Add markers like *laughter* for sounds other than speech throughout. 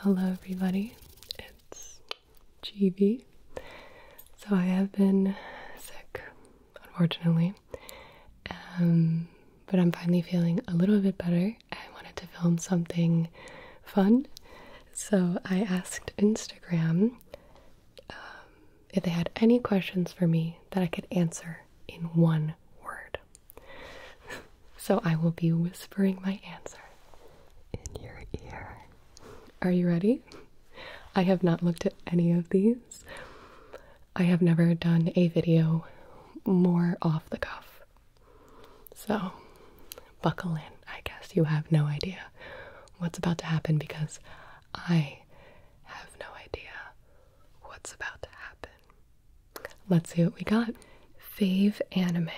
Hello, everybody. It's GB. So, I have been sick, unfortunately, um, but I'm finally feeling a little bit better. I wanted to film something fun, so I asked Instagram um, if they had any questions for me that I could answer in one word so I will be whispering my answer in your ear. Are you ready? I have not looked at any of these. I have never done a video more off the cuff. So, buckle in. I guess you have no idea what's about to happen because I have no idea what's about to happen. Let's see what we got. Fave anime.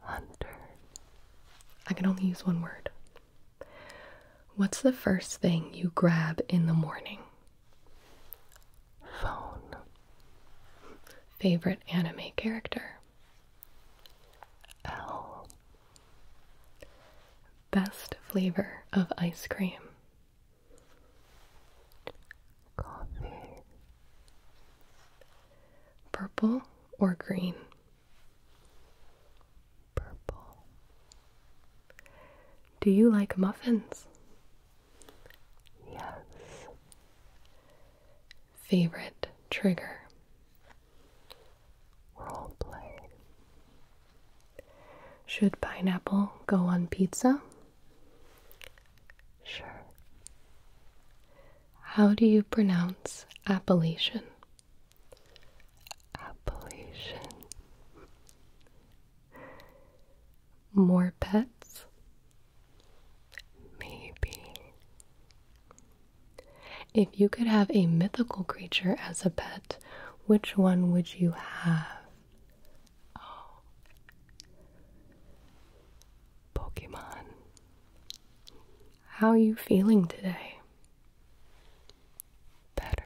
Hunter. I can only use one word. What's the first thing you grab in the morning? Phone. Favorite anime character? L. Best flavor of ice cream? Coffee. Purple or green? Purple. Do you like muffins? Yes. Favorite trigger? Role Should pineapple go on pizza? Sure. How do you pronounce Appalachian? Appalachian. More pets? Maybe. If you could have a mythical creature as a pet, which one would you have? Oh. *gasps* Pokemon. How are you feeling today? Better.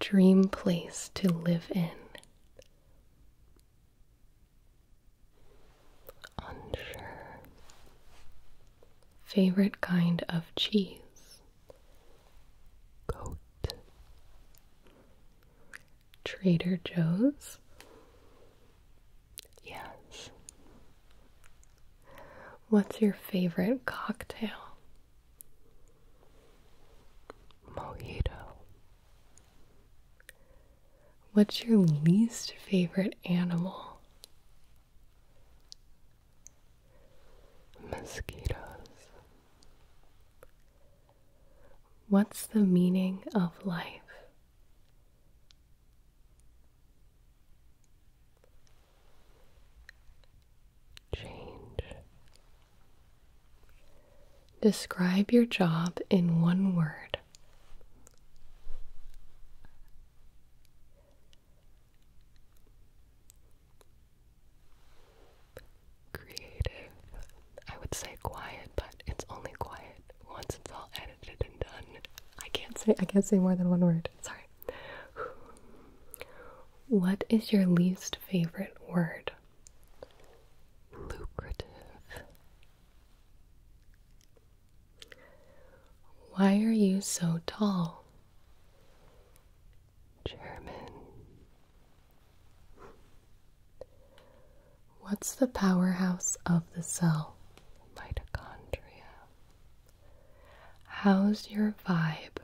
Dream place to live in. Unsure. Favorite kind of cheese. Goat. Trader Joe's. Yes. What's your favorite cocktail? Mojito. What's your least favorite animal? Mosquitoes. What's the meaning of life? Change. Describe your job in one word creative. I would say quiet, but it's only quiet once it's all edited and done. I can't say I can't say more than one word. Sorry. What is your least favorite word? Lucrative. Why are you so tall? German. What's the powerhouse of the cell? Mitochondria. How's your vibe?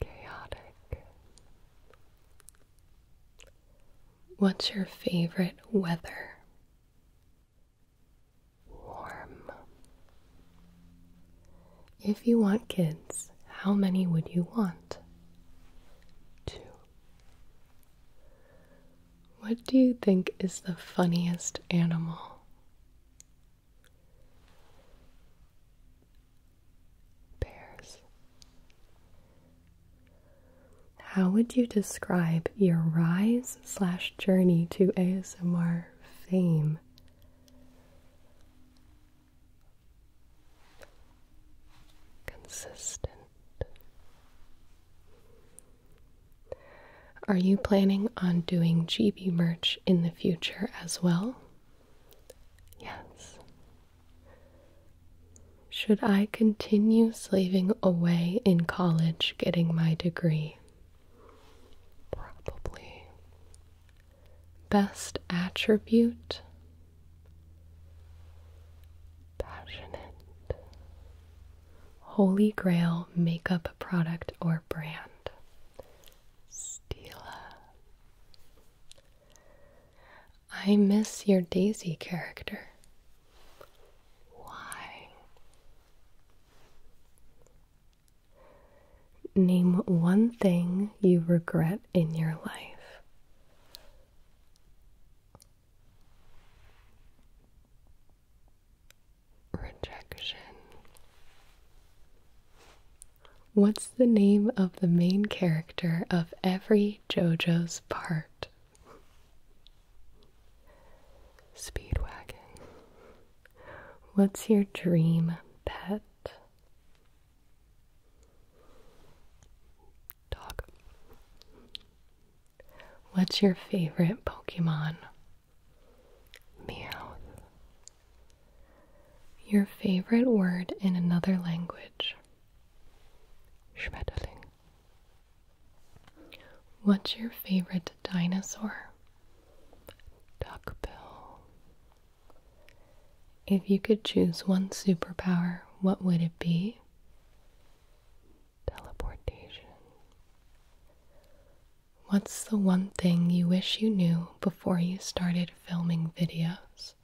Chaotic. What's your favorite weather? Warm. If you want kids, how many would you want? Two. What do you think is the funniest animal? Bears. How would you describe your rise slash journey to ASMR fame? consistent. Are you planning on doing GB merch in the future as well? Yes. Should I continue slaving away in college getting my degree? Probably. Best attribute Passionate. Holy Grail makeup product or brand. Stila. I miss your Daisy character. Why? Name one thing you regret in your life. Rejection. What's the name of the main character of every JoJo's part? Speedwagon. What's your dream pet? Dog. What's your favorite Pokemon? Meow. Your favorite word in another language? Schmetterling. What's your favorite dinosaur? Duckbill. If you could choose one superpower, what would it be? Teleportation. What's the one thing you wish you knew before you started filming videos?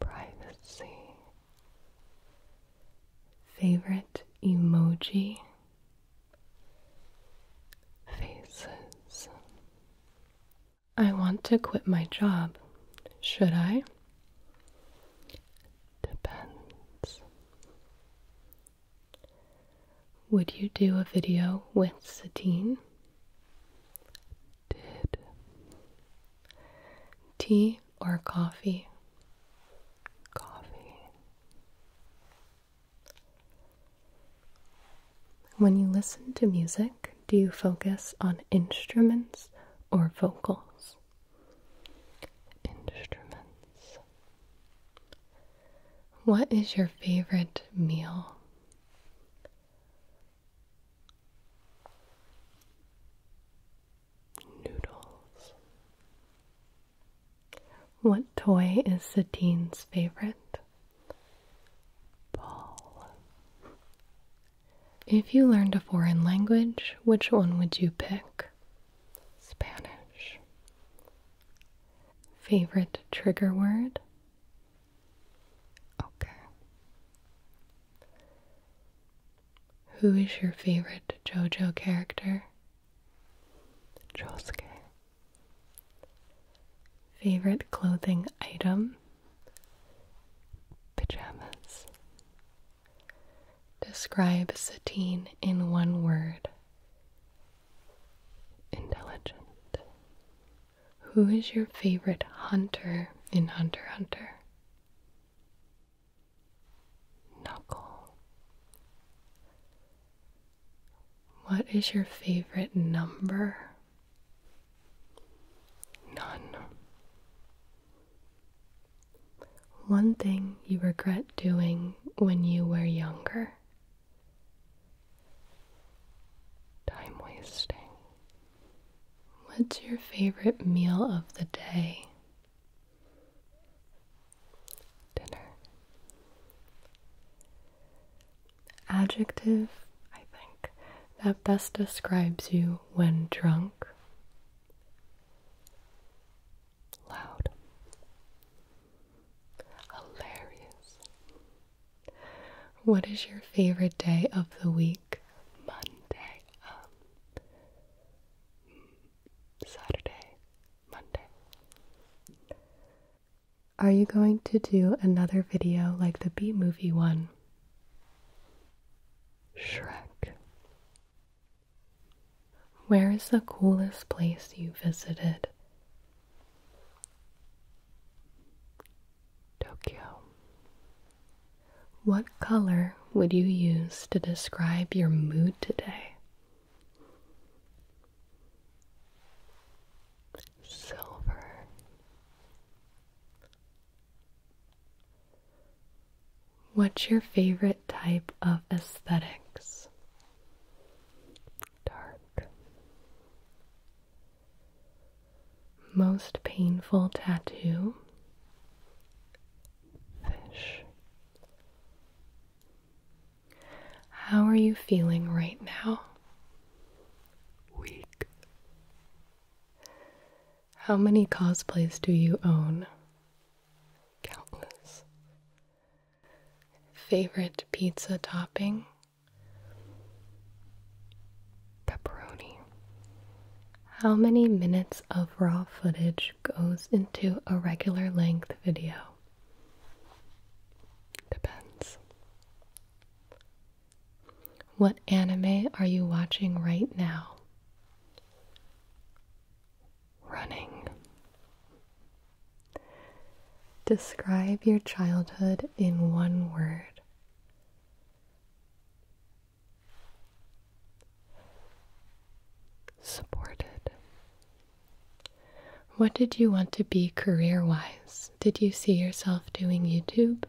Privacy. Favorite emoji? Faces. I want to quit my job. Should I? Depends. Would you do a video with Satine? Did. Tea or coffee? Coffee. When you listen to music, do you focus on instruments or vocals? Instruments. What is your favorite meal? Noodles. What toy is Satine's favorite? Ball. If you learned a foreign language, which one would you pick? Spanish. Favorite trigger word? Okay. Who is your favorite JoJo character? Josuke. Favorite clothing item? Pajamas. Describe Satine in one word. Intelligent. Who is your favorite hunter in Hunter Hunter? Knuckle. What is your favorite number? None. One thing you regret doing when you were younger? Time wasting. What's your favorite meal of the day? dinner. Adjective, I think, that best describes you when drunk. Loud. Hilarious. What is your favorite day of the week? Monday. Um, Saturday. Monday. Are you going to do another video like the B movie one? Shrek. Where is the coolest place you visited? Tokyo. What color would you use to describe your mood today? silver, What's your favorite type of aesthetics? Dark. Most painful tattoo? Fish. How are you feeling right now? Weak. How many cosplays do you own? Countless. Favorite pizza topping? Pepperoni. How many minutes of raw footage goes into a regular length video? Depends. What anime are you watching right now? Running. Describe your childhood in one word. Supported. What did you want to be career wise? Did you see yourself doing YouTube?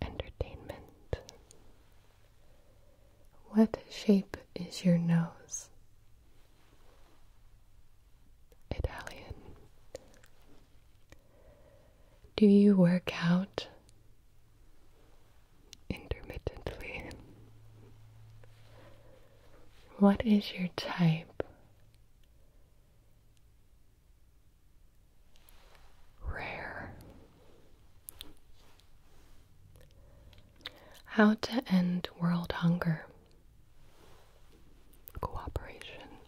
Entertainment. What shape is your nose? Italian. Do you work out? Intermittently. What is your type? Rare. How to end world hunger? Cooperation.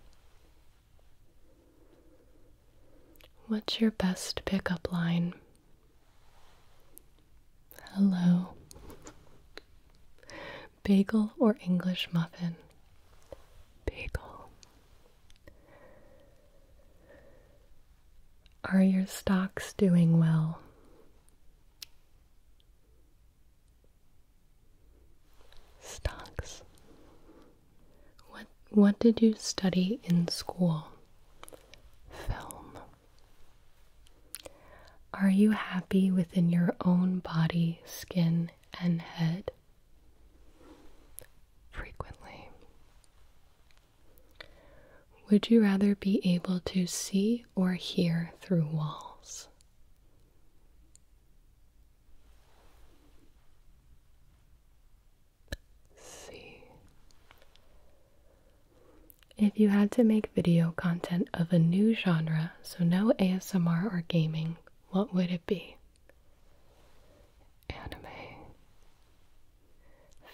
What's your best pickup line? Hello. Bagel or English muffin? Bagel. Are your stocks doing well? Stocks. What what did you study in school? Film. Are you happy within your own body, skin, and head? Frequently. Would you rather be able to see or hear through walls? See. If you had to make video content of a new genre, so no ASMR or gaming, what would it be? Anime.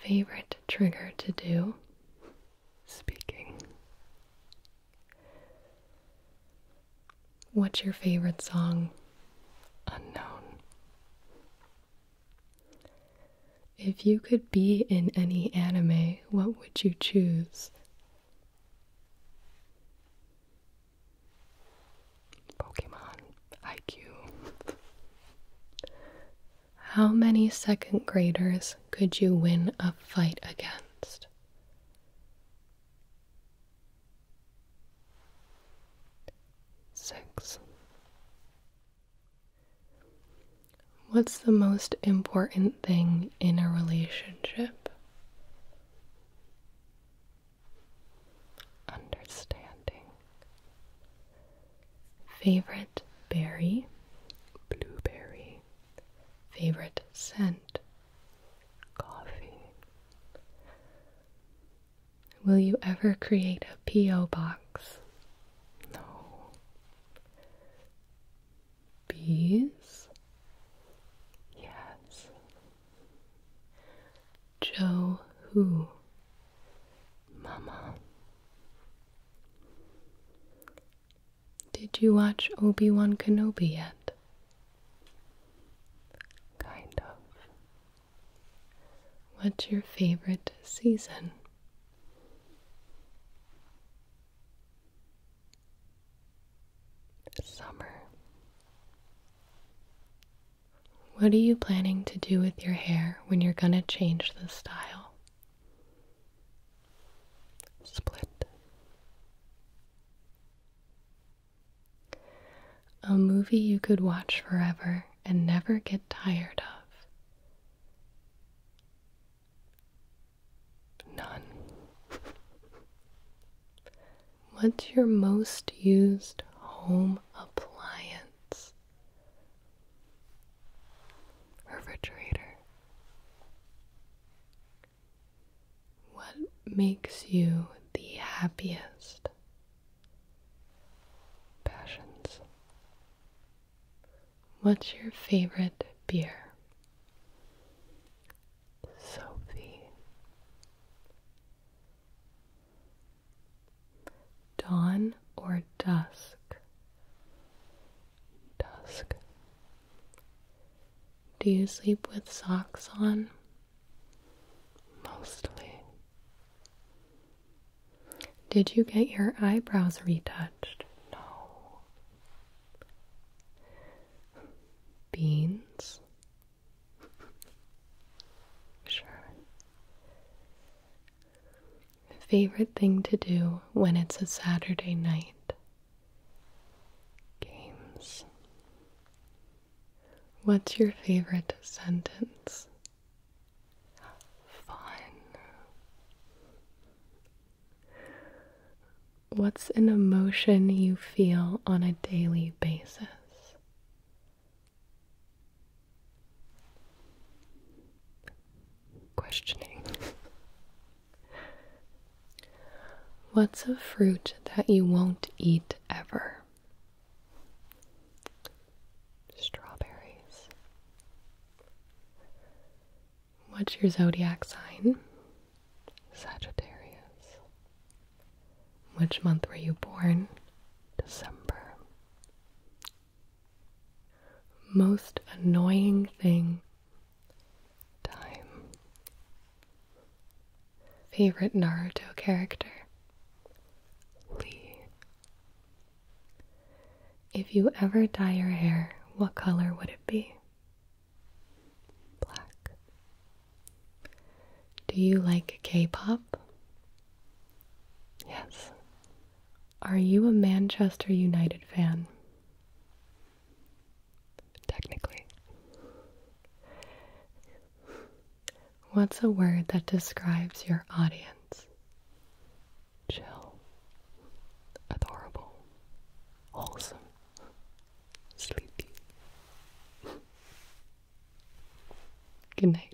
Favorite trigger to do? Speaking. What's your favorite song? Unknown. If you could be in any anime, what would you choose? Pokemon IQ. How many second graders could you win a fight against? Six. What's the most important thing in a relationship? Understanding. Favorite berry? Blueberry. Favorite scent? Coffee. Will you ever create a P.O. box? No. Bees? Yes. Joe who? Mama. Did you watch Obi-Wan Kenobi yet? Kind of. What's your favorite season? Summer. What are you planning to do with your hair when you're gonna change the style? Split. A movie you could watch forever and never get tired of. None. What's your most used home appliance? Refrigerator. What makes you the happiest? Passions. What's your favorite beer? Sophie. Dawn or dusk? Dusk. Do you sleep with socks on? Mostly. Did you get your eyebrows retouched? No. Beans? *laughs* sure. Favorite thing to do when it's a Saturday night? Games. What's your favorite sentence? Fun. What's an emotion you feel on a daily basis? Questioning. What's a fruit that you won't eat ever? Strawberries. What's your zodiac sign? Sagittarius. Which month were you born? December. Most annoying thing. Time. Favorite Naruto character? Lee. If you ever dye your hair, what color would it be? Black. Do you like K pop? Yes. Are you a Manchester United fan? Technically. What's a word that describes your audience? chill, adorable, Awesome. sleepy. *laughs* Good night.